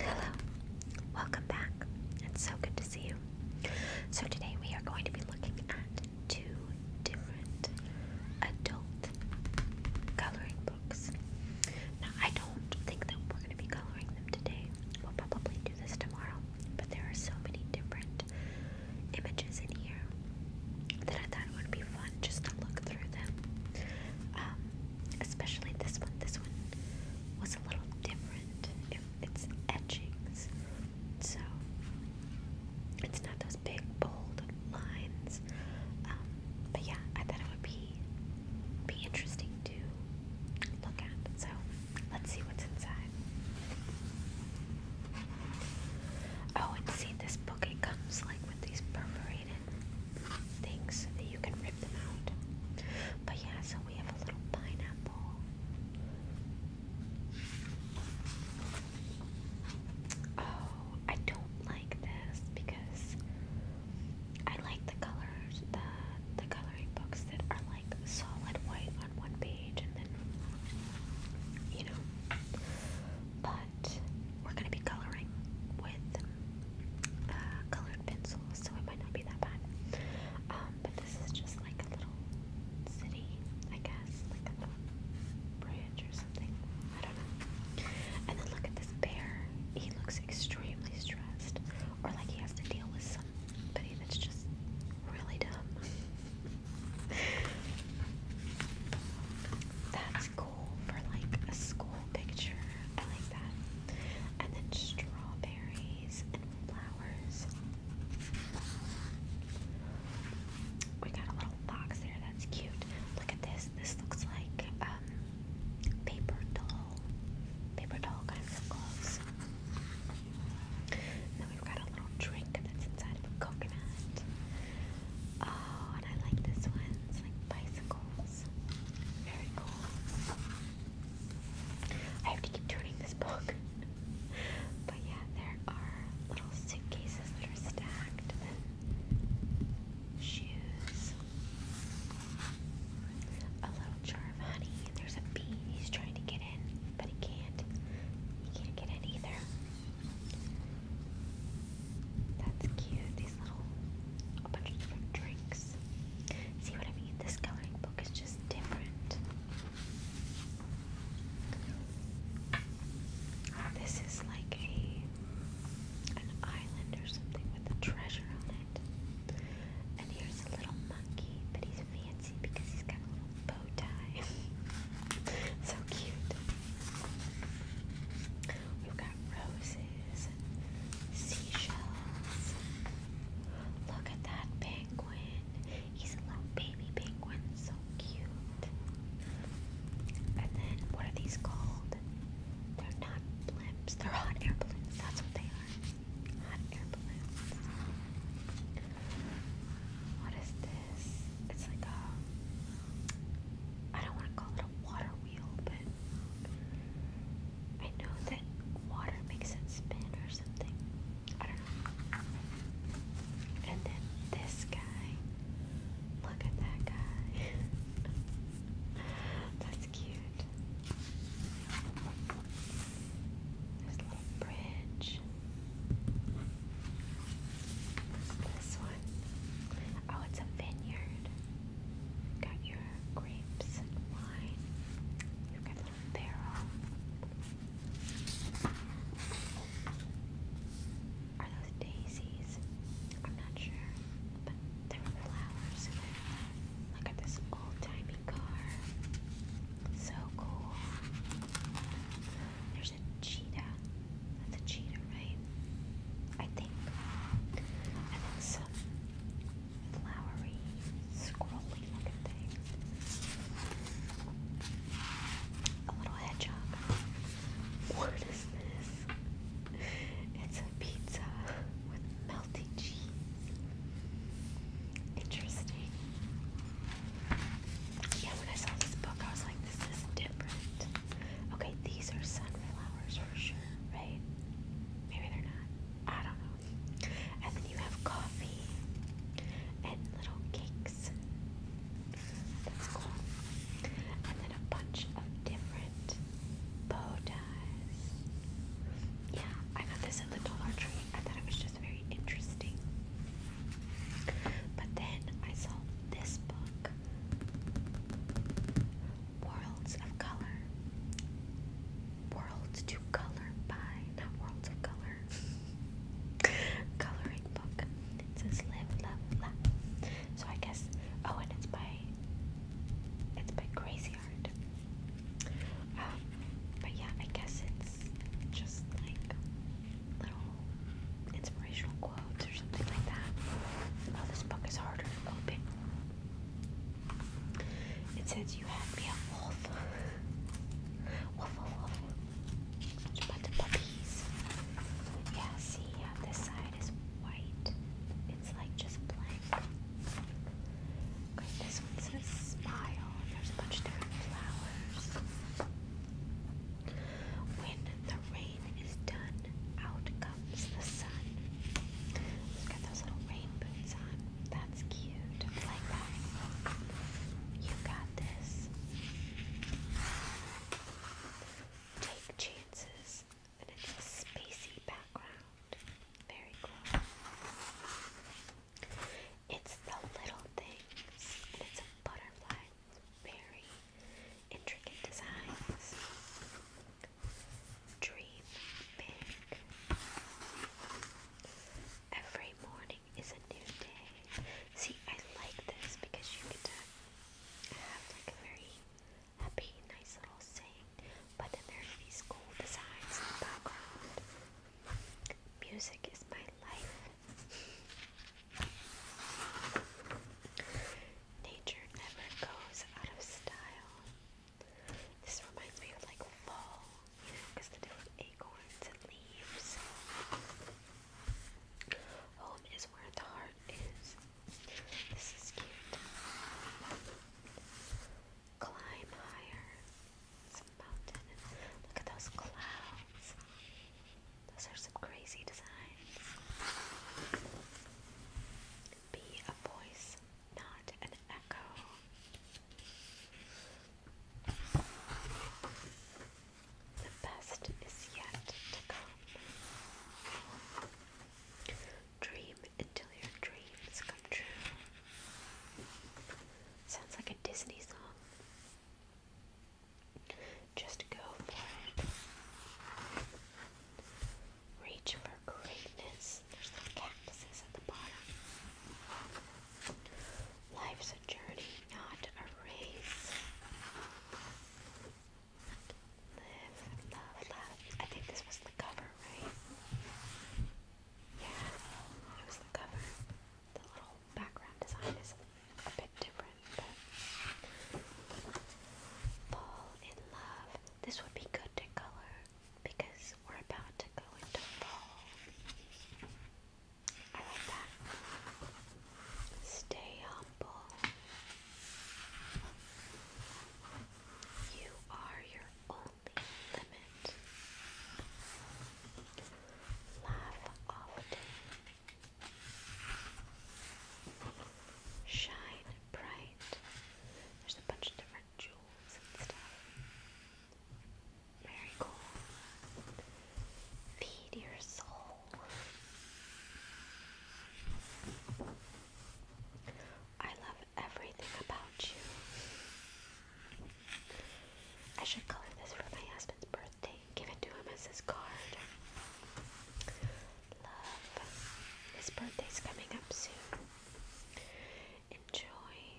Hello, welcome back. It's so good to see you. So, today we are going to be looking at two different adult coloring books. Now, I don't think that we're going to be coloring them today. We'll probably do this tomorrow, but there are so many different images in here that I thought it would be fun just to look through them. Um, especially this one. This one was a little different. It, it's etchings, so it's not those big bold lines. Um, but yeah, I thought it would be be interesting to look at. So let's see what's inside. Oh, and see this book. It comes like with these perforated things so that you can rip them out. But yeah, so we have a little pineapple. Oh, I don't like this because I like the colors, the the coloring books that are like solid white on one page and then you know. But we're going to be coloring with uh, colored pencils, so it might not be that bad. Um, but this is just like a little city, I guess, like a little bridge or something. I don't know. And then look at this bear. He looks extremely stressed, or like he has to deal with somebody that's just really dumb. that's cool cool for like a school picture. I like that. And then strawberries and flowers. We got a little box there. That's cute. Look at this. This looks like um, paper doll. Paper doll kind of gloves. And then we've got a little drink that's inside of a coconut. Oh, and I like this one. It's like bicycles. Very cool. I have to keep turning this book. but yeah, there are little suitcases that are stacked and shoes. A little jar of honey. There's a bee. He's trying to get in, but he can't. He can't get in either. That's cute. These little, a bunch of different drinks. See what I mean? This coloring book is just different. This is like a an island or something with a treasure on it. And here's a little monkey, but he's fancy because he's got a little bow tie. so cute. We've got roses, seashells. Look at that penguin. He's a little baby penguin, so cute. And then, what are these called? They're not blimps, they're hot air balloons. That's what they are. Hot air balloons. What is this? It's like a. I don't want to call it a water wheel, but I know that water makes it spin or something. I don't know. And then this guy. Look at that guy. That's cute. This little bridge section. This one. Oh, it's a vineyard. Got your grapes and wine. You've got a barrel. Are those daisies? I'm not sure. But there were flowers Look at this old car. So cool. There's there's cheetah. That's a cheetah, right? I think. And then some flowery, scrolly looking thing. A little hedgehog. What is this? It's a pizza with melting cheese. Interesting. Yeah, when I saw this book, I was like, this is different. Okay, these are sunflowers for sure, right? Maybe they're not. I don't know. And then you have coffee and little cakes. That's cool. And then a bunch of different bow ties. Yeah, I got this at the Dollar Tree. I thought it was just very interesting. But then I saw this book, Worlds of Color. Worlds to Color by, not Worlds of Color. Coloring book. It says Live, Love, Love. So I guess, oh, and it's by, it's by Crazy um, but yeah, I guess it's just like little inspirational quotes or something like that. Oh, this book is harder to open. It says, You had me a wolf. Wolf, wolf, wolf. Bunch of puppies. Yeah, see, yeah, this side is white. It's like just blank. Okay, this one says smile. There's a bunch different flowers. When the rain is done, out comes the sun. He's got those little rain on. That's cute. like that. You got this. Take chances. And it's a spacey background. Very cool. It's the little things, and it's a butterfly. Very intricate designs. Dream big. Every morning is a new day. See, I like this because you get to have like a very happy, nice little saying, but then there's these cool designs in the background. Music is my life. Nature never goes out of style. This reminds me of like fall, you know, because the different acorns and leaves. Home is where the heart is. This is cute. Climb higher some mountain. And look at those clouds. Those are some crazy designs. Be a voice, not an echo. The best is yet to come. Dream until your dreams come true. Sounds like a Disney song. Just go for it. Reach for greatness. There's some cactuses at the bottom. Life's a journey, not a race. Live, love, love. I think this was the cover, right? Yeah, was the cover the little background design is a bit different, fall in love. This would be good to color because we're about to go into fall. I like that. Stay humble. You are your own limit. Laugh often. Shine bright. There's a bunch of different jewels and stuff. Very cool. Feed your soul. I love everything about you. I should color this for my husband's birthday. Give it to him as his card. Love. His birthday's coming up soon. Enjoy.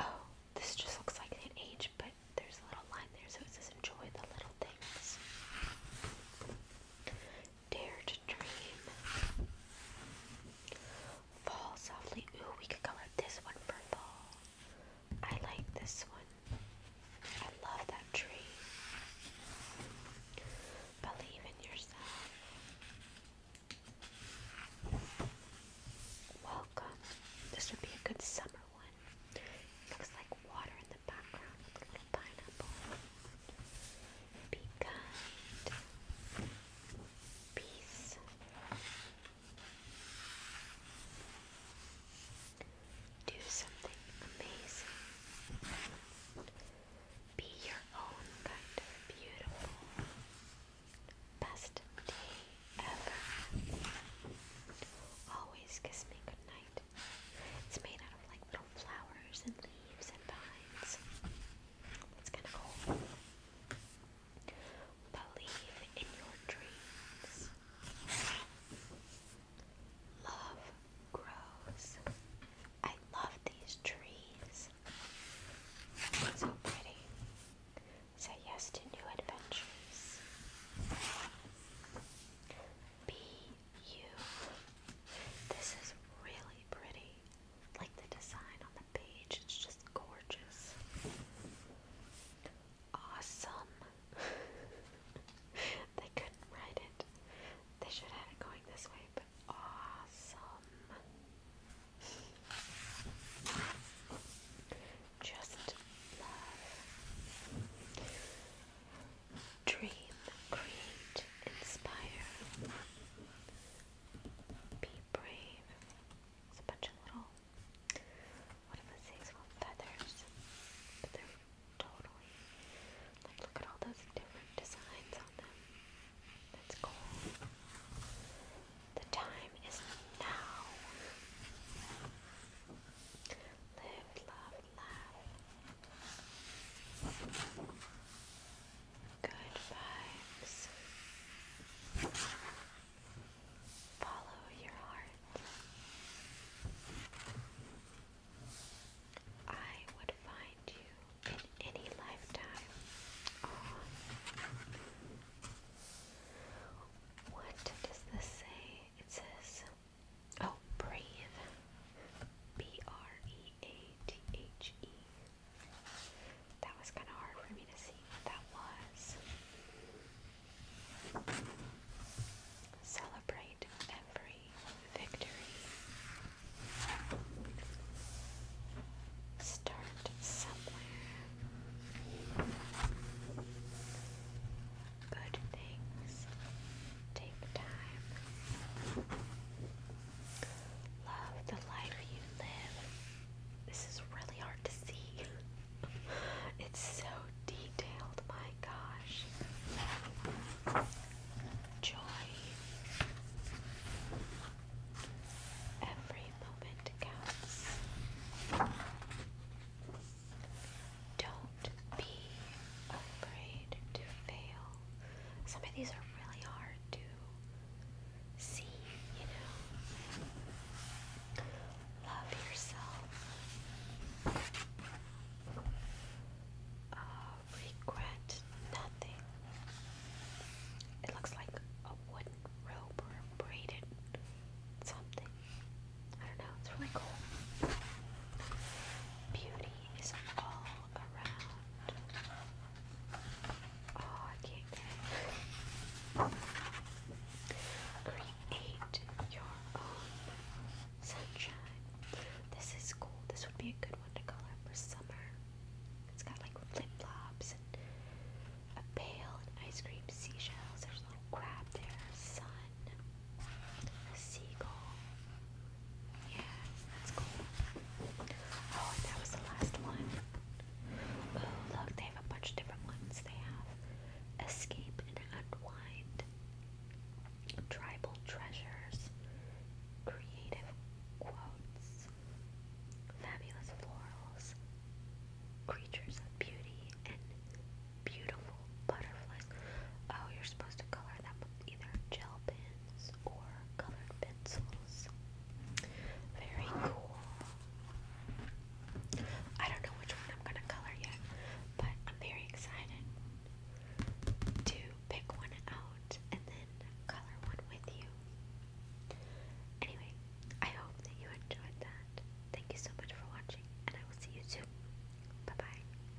Oh, this just looks like an age, but there's a little line there, so it says enjoy the little things. Dare to dream. Fall softly. Ooh, we could color this one purple. I like this one. I love that tree. Believe in yourself. Welcome. This would be a good summer one. looks like water in the background little pineapple. Be kind. Peace. Do something amazing. Be your own kind of beautiful. Best day ever. Always kiss me goodnight. It's made out of like little flowers and leaves and vines. It's kind of cool. Believe in your dreams. Love grows. I love these trees. So pretty. Say yes to new adventures. Be you. This is really pretty like the design on the page. It's just gorgeous. Awesome. they couldn't write it. They should have it going this way, but awesome. Just love. Dream, create, inspire. Be brave. It's a bunch of little, what if I say it's called feathers, they're totally, like look at all those different designs on them. That's cool. The time is now. Live, love, laugh. Good vibes. Follow your heart. I would find you in any lifetime. What does this say? It says, Oh, breathe. B R E A T H E. That was kind of hard for me to see what that was. Celebrate every victory. Start somewhere. Good things take time. Love the life you live. This is really hard to see. it's so detailed, my gosh. Joy. Every moment counts. Don't be afraid to fail. Some of these are really hard to see, you know. Love yourself. Uh, regret nothing. It looks like a wooden rope or a braided something. I don't know, it's really cool. Beauty is all Oh, Create your own sunshine. This is cool. This would be a good one to color for summer. It's got like flip flops and a pail and ice cream seashells. There's a little crab there, sun, a seagull, yeah, that's cool. Oh, that was the last one. Oh, look, they have a bunch of different ones. They have Escape and Unwind, Tribal Treasures, Creative Quotes, Fabulous Florals, Creatures of Beauty, and Beautiful Butterflies. Oh, you're supposed to color them either gel pens or colored pencils. Very cool. I don't know which one I'm gonna color yet, but I'm very excited to pick one out and then color one with you. Anyway, I hope that you enjoyed that. Thank you so much for watching, and I will see you soon. Bye bye.